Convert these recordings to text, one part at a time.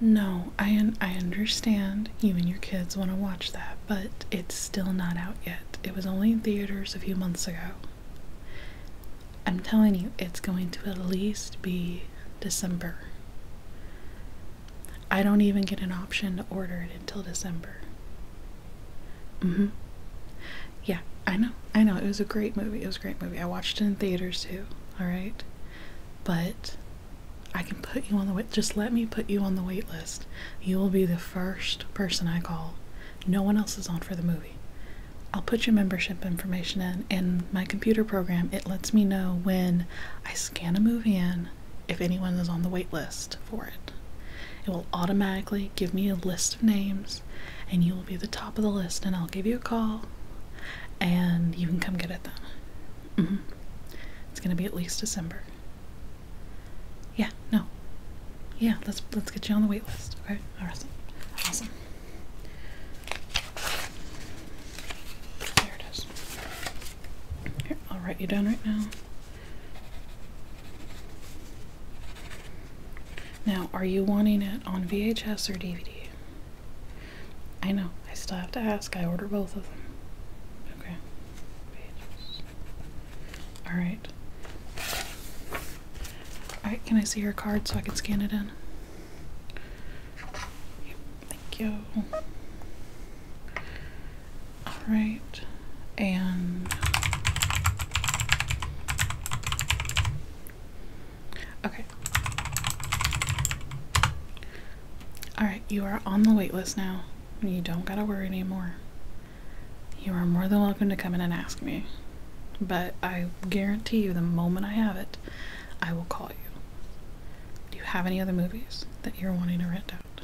No, I I understand you and your kids want to watch that, but it's still not out yet. It was only in theaters a few months ago. I'm telling you, it's going to at least be December. I don't even get an option to order it until December. hmm Yeah, I know. I know. It was a great movie. It was a great movie. I watched it in theaters too, alright? But I can put you on the wait. Just let me put you on the wait list. You will be the first person I call. No one else is on for the movie. I'll put your membership information in, and my computer program it lets me know when I scan a movie in if anyone is on the wait list for it. It will automatically give me a list of names, and you will be the top of the list. And I'll give you a call, and you can come get it then. Mm -hmm. It's gonna be at least December. Yeah, no. Yeah, let's let's get you on the wait list. Okay, awesome, awesome. There it is. Here, I'll write you down right now. Now, are you wanting it on VHS or DVD? I know. I still have to ask. I order both of them. Okay. All right. All right. Can I see your card so I can scan it in? thank you. All right. And okay. Alright, you are on the wait list now. You don't gotta worry anymore. You are more than welcome to come in and ask me. But I guarantee you, the moment I have it, I will call you. Do you have any other movies that you're wanting to rent out?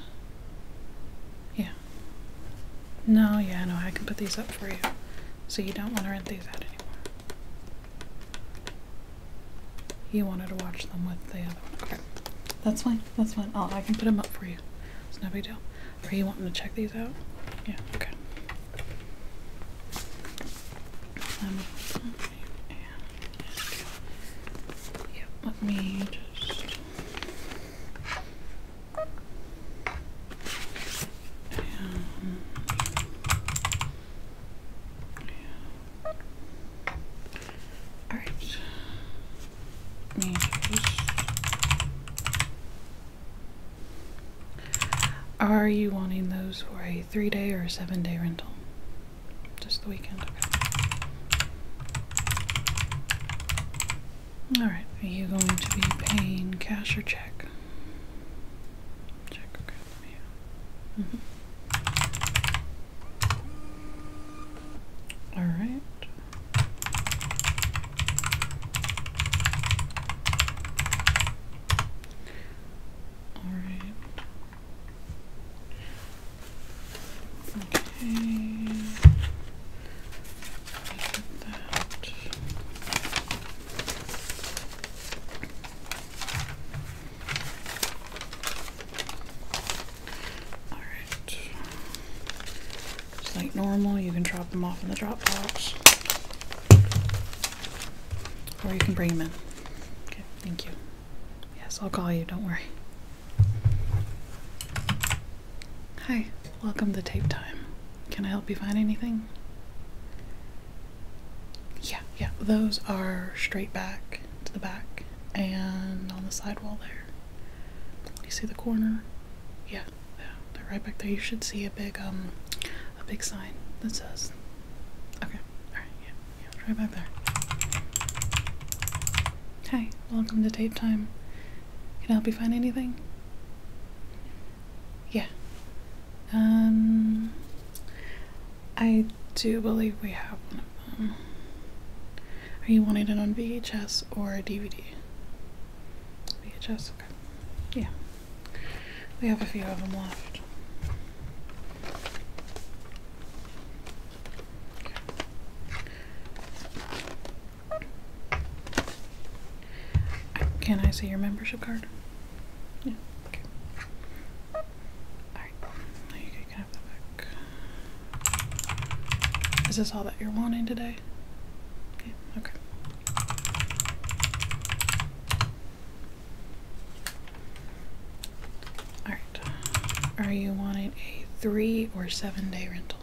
Yeah. No, yeah, no, I can put these up for you. So you don't want to rent these out anymore. You wanted to watch them with the other one. Okay. That's fine. That's fine. i I can put them up for you. It's no big deal. Are you wanting to check these out? Yeah, okay. Um, and, let me just. Um, Alright. Are you wanting those for a three day or a seven day rental? Just the weekend. Okay. Alright, are you going to be paying cash or check? Check, from you. Mm All right. All right. Okay. that. Alright. Just like normal, you can drop them off in the drop box. Or you can bring them in. Okay, thank you. Yes, I'll call you, don't worry. Hi, welcome to Tape Time. Can I help you find anything? Yeah, yeah, those are straight back to the back and on the sidewall there. You see the corner? Yeah, yeah, they're right back there. You should see a big um a big sign that says Okay, alright, yeah, yeah, right back there. Hi, welcome to tape time. Can I help you find anything? Yeah. Um I do believe we have one of them. Are you wanting it on VHS or DVD? VHS, okay. Yeah. We have a few of them left. Can I see your membership card? Yeah, okay. Alright, there you go, can have that back. Is this all that you're wanting today? Okay, okay. Alright. Are you wanting a three or seven day rental?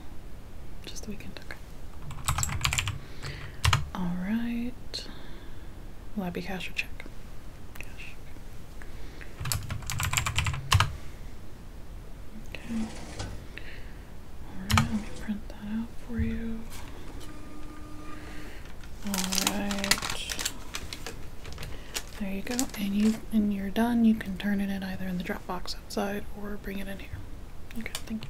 Just the weekend, okay. Alright. Will that be cash or check? Cash. Okay. Alright, let me print that out for you. Alright. There you go. And you and you're done. You can turn it in either in the Dropbox outside or bring it in here. Okay, thank you.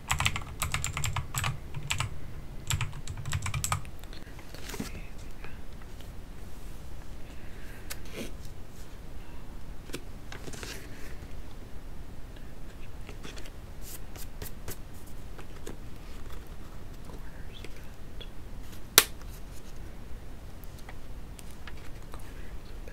Corners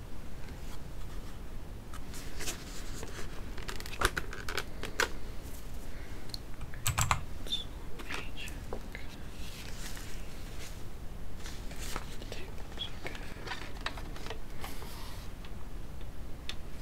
So let me check. The table's okay. Three, four,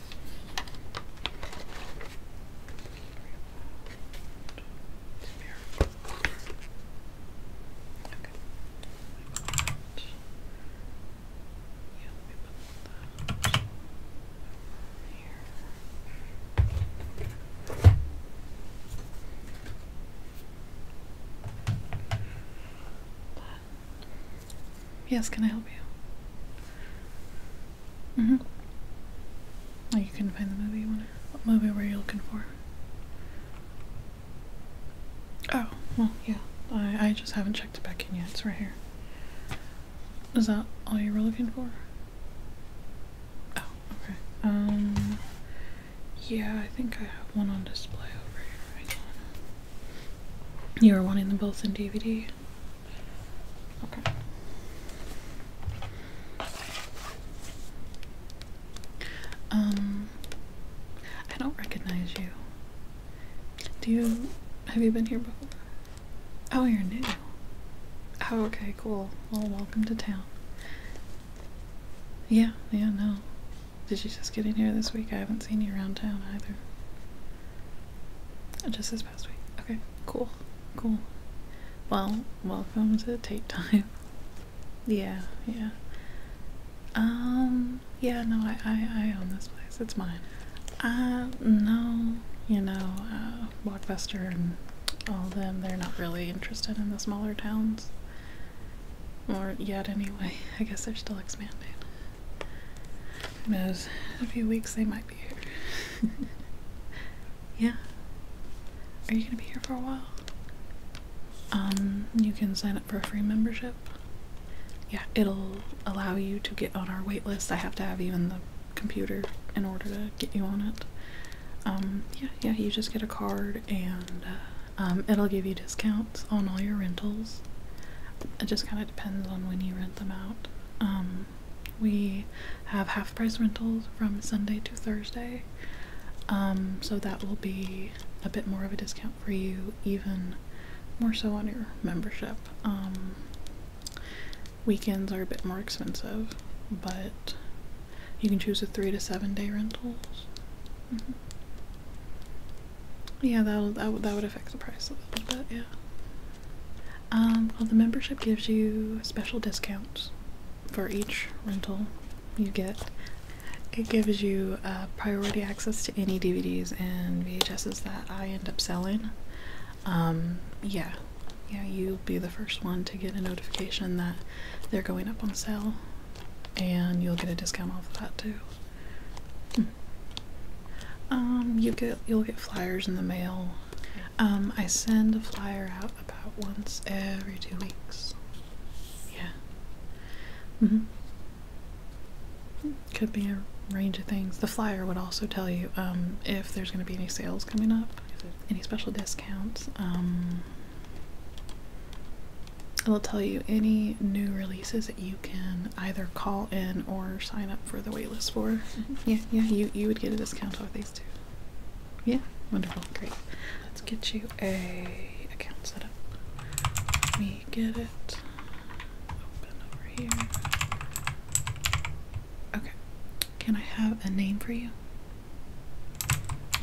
Yes, can I help you? Mm-hmm. Oh, you couldn't find the movie you wanted. What movie were you looking for? Oh, well, yeah. I, I just haven't checked it back in yet. It's right here. Is that all you were looking for? Oh, okay. Um, yeah, I think I have one on display over here. You were wanting them both in DVD? Okay. Um, I don't recognize you. Do you have you been here before? Oh, you're new. Oh, okay, cool. Well, welcome to town. Yeah, yeah, no. Did you just get in here this week? I haven't seen you around town either. Oh, just this past week. Okay, cool, cool. Well, welcome to tape Time. yeah, yeah. Um, um, yeah, no, I, I, I own this place. It's mine. Uh, no, you know, uh, Blockbuster and all them, they're not really interested in the smaller towns. Or yet, anyway. I guess they're still expanding. Who knows? In a few weeks, they might be here. yeah. Are you gonna be here for a while? Um, you can sign up for a free membership yeah, it'll allow you to get on our wait list. I have to have you in the computer in order to get you on it. Um, yeah, yeah, you just get a card and uh, um, it'll give you discounts on all your rentals. It just kind of depends on when you rent them out. Um, we have half price rentals from Sunday to Thursday. so that will be a bit more of a discount for you, even more so on your membership. Um, weekends are a bit more expensive, but you can choose a three to seven day rentals. Mm-hmm. Yeah, that that would that would affect the price a little bit. Yeah. Um, well, the membership gives you special discounts for each rental. You get it gives you uh, priority access to any DVDs and VHSs that I end up selling. Um, yeah, yeah, you'll be the first one to get a notification that they're going up on sale, and you'll get a discount off of that too. Hmm. Um, you get you'll get flyers in the mail. Um, I send a flyer out about once every two weeks. Yeah. -hmm. Could be a range of things. The flyer would also tell you um, if there's going to be any sales coming up, any special discounts. Um, it'll tell you any new releases that you can either call in or sign up for the waitlist for. Mm-hmm. yeah, yeah, you, you would get a discount off these too. Yeah, wonderful, great. Let's get you a account set up get it open over here. Okay. Can I have a name for you?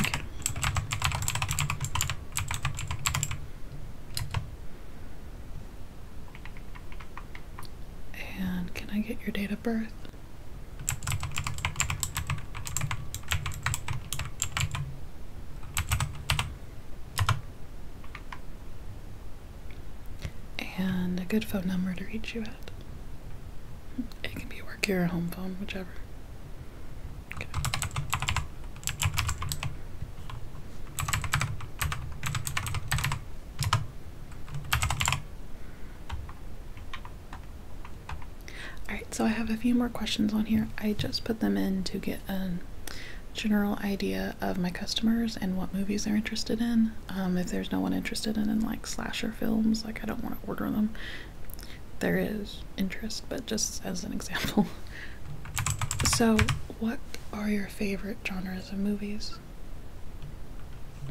Okay. And can I get your date of birth? and a good phone number to reach you at. It can be a work or home phone, whichever. Alright, so I have a few more questions on here. I just put them in to get a um, general idea of my customers and what movies they're interested in. Um, if there's no one interested in, like slasher films, like I don't want to order them. There is interest, but just as an example. So, what are your favorite genres of movies?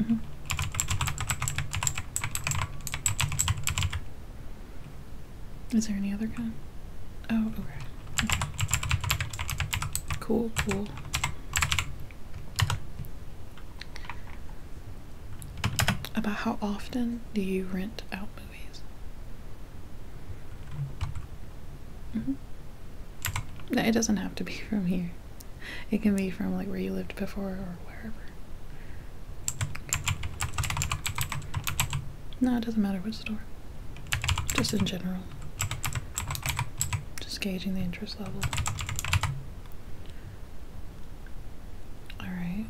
Mm-hmm. Is there any other kind? Oh, okay. Cool, cool. About how often do you rent out movies? Mm-hmm. it doesn't have to be from here. It can be from like where you lived before or wherever. No, it doesn't matter what store. Just in general. Just gauging the interest level. Alright.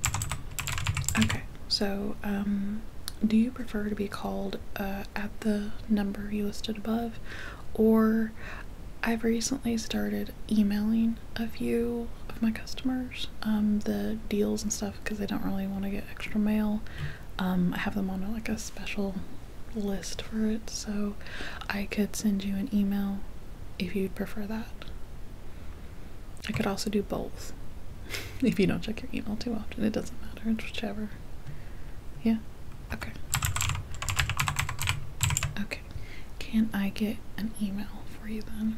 Okay, so, um, do you prefer to be called uh, at the number you listed above? Or I've recently started emailing a few of my customers um, the deals and stuff because they don't really want to get extra mail. Um, I have them on like a special list for it, so I could send you an email if you'd prefer that. I could also do both. if you don't check your email too often, it doesn't matter, it's whichever. Yeah? Okay. Okay. Can I get an email for you then?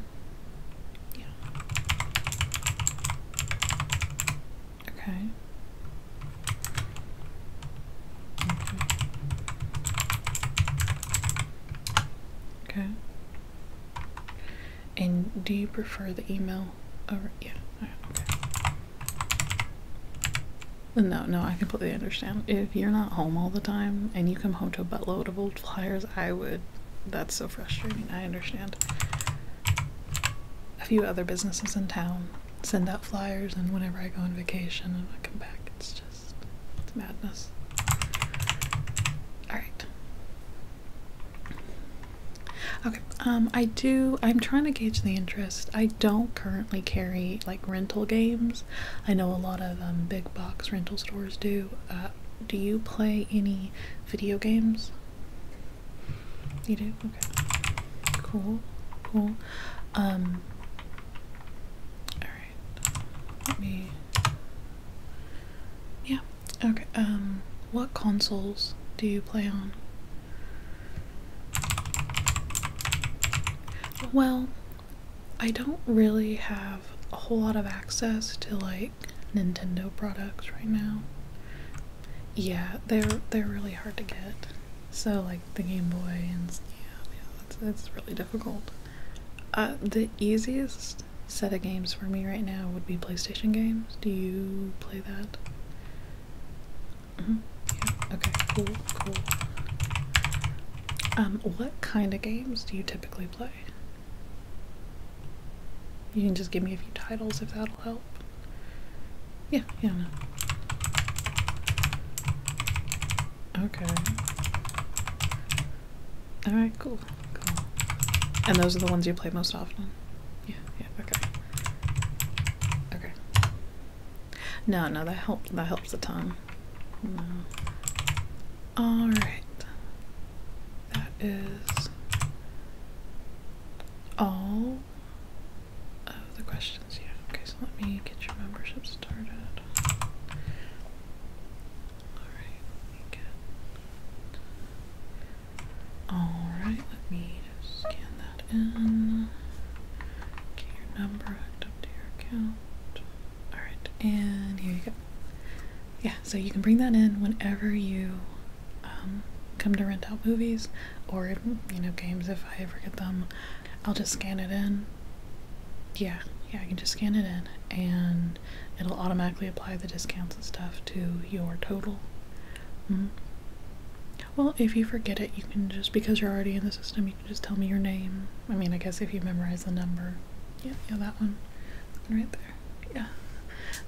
Yeah. Okay. Okay. And do you prefer the email over? Yeah. No, no, I completely understand. If you're not home all the time and you come home to a buttload of old flyers, I would. That's so frustrating. I understand a few other businesses in town send out flyers, and whenever I go on vacation and I come back, it's just it's madness. All right. Okay. Um, I do. I'm trying to gauge the interest. I don't currently carry like rental games. I know a lot of um, big box rental stores do. Uh, do you play any video games? You do? Okay. Cool. Cool. Um Alright. Let me Yeah. Okay. Um what consoles do you play on? Well, I don't really have a whole lot of access to like Nintendo products right now. Yeah, they're they're really hard to get. So like the Game Boy and yeah, yeah, that's that's really difficult. Uh, the easiest set of games for me right now would be PlayStation games. Do you play that? Mm -hmm. Okay. Cool. Cool. Um, what kind of games do you typically play? You can just give me a few titles if that'll help. Yeah, yeah, Okay. Alright, cool. Cool. And those are the ones you play most often? Yeah, yeah, okay. Okay. No, no, that helps. that helps a ton. No. Alright that is all of the questions yeah. Okay, so let me get your membership started. Alright, let me get. Alright, let me scan that in. Get your number hooked your account. Alright, and here you go. Yeah, so you can bring that in whenever you um, come to rent out movies or you know games if I ever get them. I'll just scan it in. Yeah, yeah, I can just scan it in and it'll automatically apply the discounts and stuff to your total. -hmm. Well, if you forget it, you can just because you're already in the system, you can just tell me your name. I mean, I guess if you memorize the number. Yeah, yeah, that one. Right there. Yeah.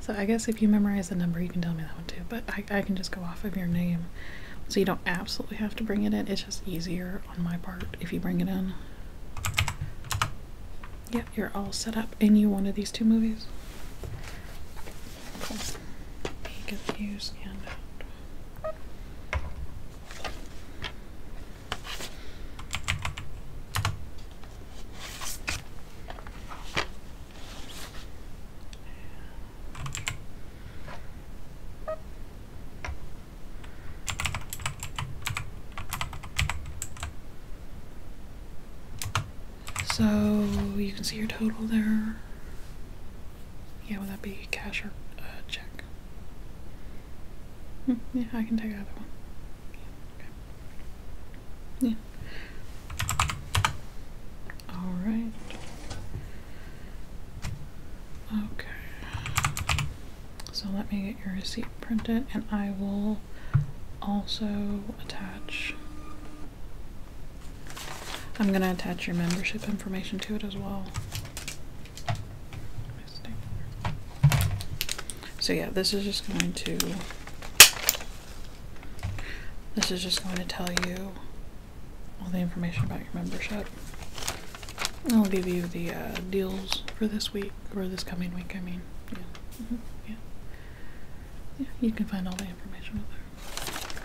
So I guess if you memorize the number, you can tell me that one too. But I, I can just go off of your name. So you don't absolutely have to bring it in. It's just easier on my part if you bring it in. Yep, you're all set up. And you of these two movies? So you can see your total there. Yeah, would that be cash or uh, check? Hmm, yeah, I can take either one. Yeah. All right. Okay. So let me get your receipt printed and I will also attach I'm going to attach your membership information to it as well. So yeah, this is just going to this is just going to tell you all the information about your membership. it will give you the uh, deals for this week, or this coming week, I mean. Yeah. Mm-hmm. yeah. yeah. You can find all the information over there.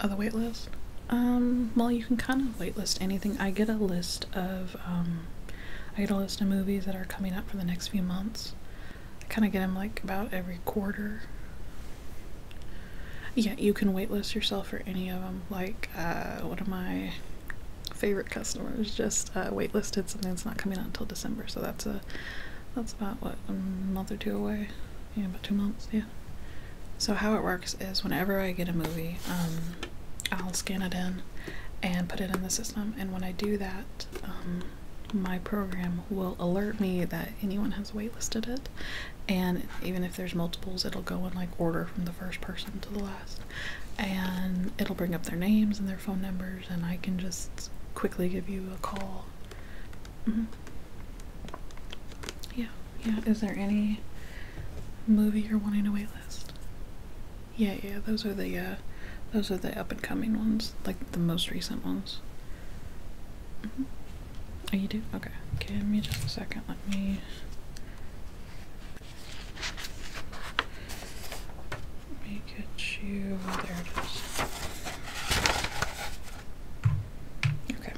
Other uh, wait list? Um, well, you can kind of waitlist anything. I get a list of, um, I get a list of movies that are coming up for the next few months. I kind of get them like about every quarter. Yeah, you can waitlist yourself for any of them. Like uh, one of my favorite customers just uh, waitlisted something that's not coming out until December, so that's a that's about what a month or two away. Yeah, about two months. Yeah. So how it works is whenever I get a movie, um, I'll scan it in and put it in the system, and when I do that, um, my program will alert me that anyone has waitlisted it. And even if there's multiples, it'll go in like order from the first person to the last. And it'll bring up their names and their phone numbers, and I can just quickly give you a call. Mm-hmm. Yeah, yeah. Is there any movie you're wanting to waitlist? Yeah, yeah. Those are the uh, those are the up and coming ones, like the most recent ones. Mm-hmm. Oh, you do? Okay. Give me just a second. Let me. Let me get you. There it is. Okay.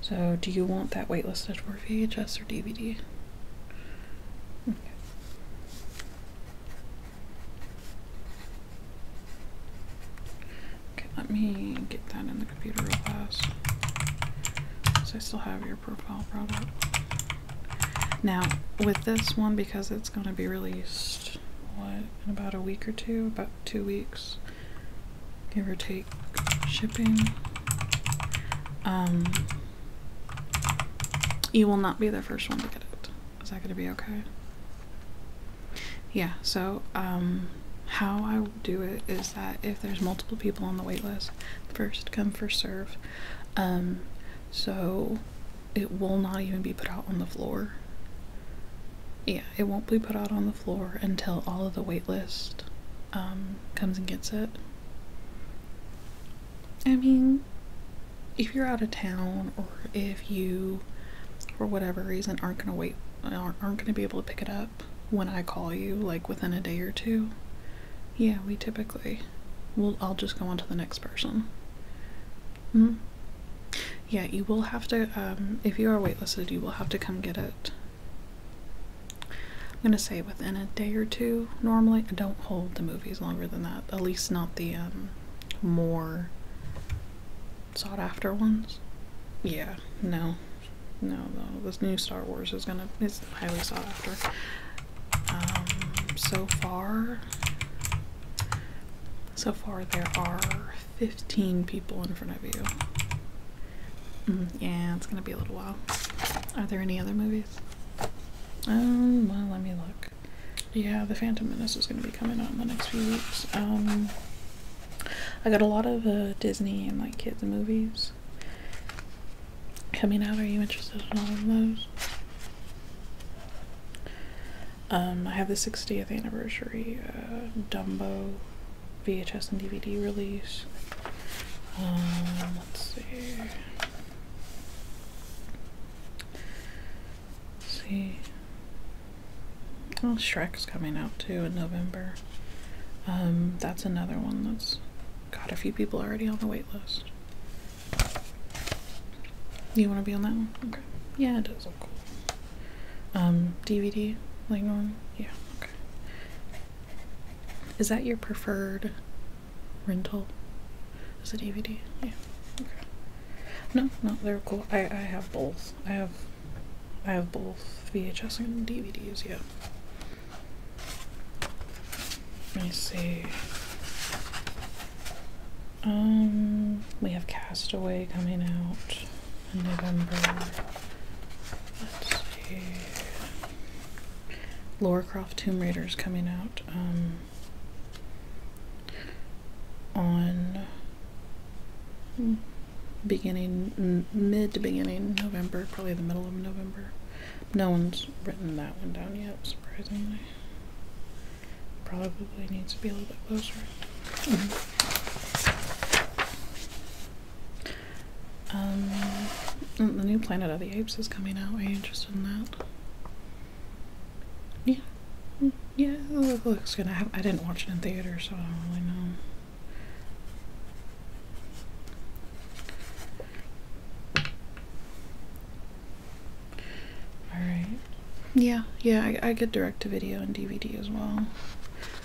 So, do you want that waitlisted for VHS or DVD? Okay, let me get that in the computer real fast. Because I still have your profile brought Now, with this one, because it's going to be released, what, in about a week or two? About two weeks, give or take, shipping. Um, you will not be the first one to get it. Is that gonna be okay? Yeah, so um, how I do it is that if there's multiple people on the wait list, first come, first serve. Um, so it will not even be put out on the floor. Yeah, it won't be put out on the floor until all of the wait list um, comes and gets it. I mean, if you're out of town or if you for whatever reason aren't going to wait aren't, aren't going to be able to pick it up when I call you like within a day or two yeah we typically will I'll just go on to the next person mm. yeah you will have to um, if you are waitlisted you will have to come get it I'm gonna say within a day or two normally I don't hold the movies longer than that at least not the um, more sought after ones. Yeah, no. No, Though This new Star Wars is gonna it's highly sought after. Um so far so far there are 15 people in front of you. Mm, yeah, it's gonna be a little while. Are there any other movies? Um, well, let me look. Yeah, the Phantom Menace is going to be coming out in the next few weeks. Um, I got a lot of uh, Disney and like kids movies coming out. Are you interested in all of those? Um, I have the 60th anniversary uh, Dumbo VHS and DVD release. Um, let's see see. Oh, Shrek's coming out too in November. Um, that's another one that's got a few people already on the wait list. You want to be on that one? Okay. Yeah, it does look cool. Um, DVD, like normal? Yeah, okay. Is that your preferred rental? Is it DVD? Yeah, okay. No, not they cool. I, I have both. I have I have both VHS and DVDs, yeah. Let me see. Um we have Castaway coming out in November. Let's see. Lorecroft Tomb Raider's coming out um on beginning mid to beginning November, probably the middle of November. No one's written that one down yet, surprisingly. Probably needs to be a little bit closer. Um, the new Planet of the Apes is coming out. Are you interested in that? Yeah. Yeah, looks good. I, I didn't watch it in theater, so I don't really know. Alright. Yeah, yeah, I, I get direct to video and DVD as well.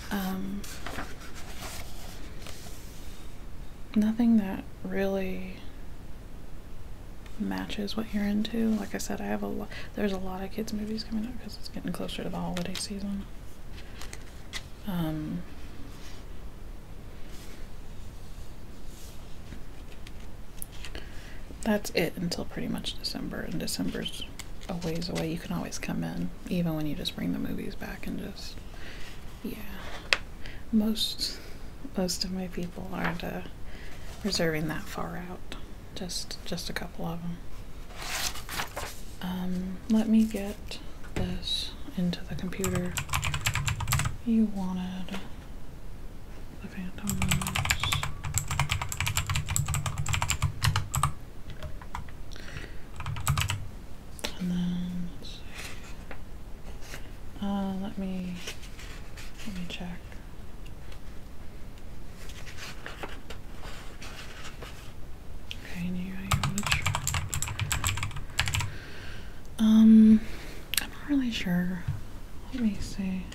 Um, nothing that really matches what you're into. Like I said, I have a lot. There's a lot of kids movies coming up because it's getting closer to the holiday season. Um, that's it until pretty much December, and December's a ways away. You can always come in, even when you just bring the movies back and just, yeah. Most most of my people aren't uh, reserving that far out just just a couple of them. Um, let me get this into the computer. You wanted the Phantom Rose. And then uh, let me let me check. Okay, and you, Um, I'm not really sure. Let me see.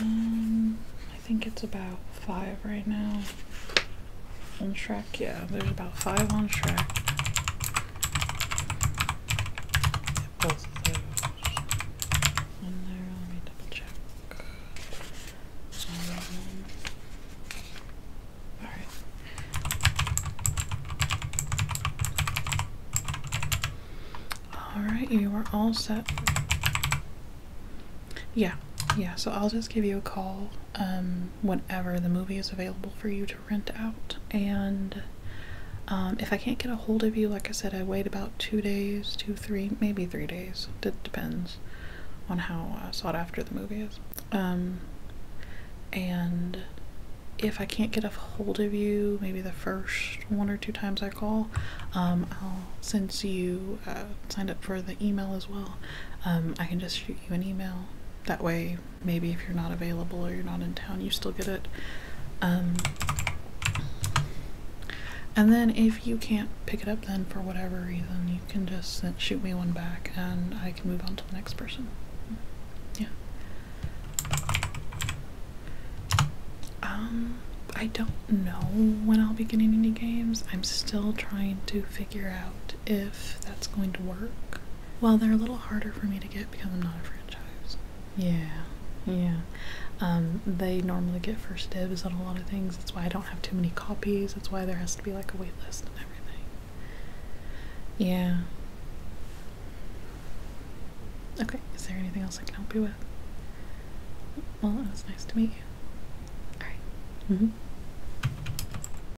Um, I think it's about five right now. On track, yeah, there's about five on track. One there, let me double check all right. you are all set. Yeah, yeah. So I'll just give you a call um, whenever the movie is available for you to rent out, and um, if I can't get a hold of you, like I said, I wait about two days, three, maybe three days. It depends on how uh, sought after the movie is. Um, and if I can't get a hold of you, maybe the first one or two times I call, um, since you uh, signed up for the email as well, um, I can just shoot you an email. That way, maybe if you're not available or you're not in town, you still get it. and then if if you can't pick it up then for whatever reason, you can just shoot me one back and I can move on to the next person. Yeah. Um, I don't know when I'll be getting any games. I'm still trying to figure out if that's going to work. Well, they're a little harder for me to get because I'm not a franchise. Yeah yeah. Um, they normally get first dibs on a lot of things. That's why I don't have too many copies. That's why there has to be like a wait list and everything. Yeah. Okay, is there anything else I can help you with? Well, it was nice to meet you. Alright. Mm hmm.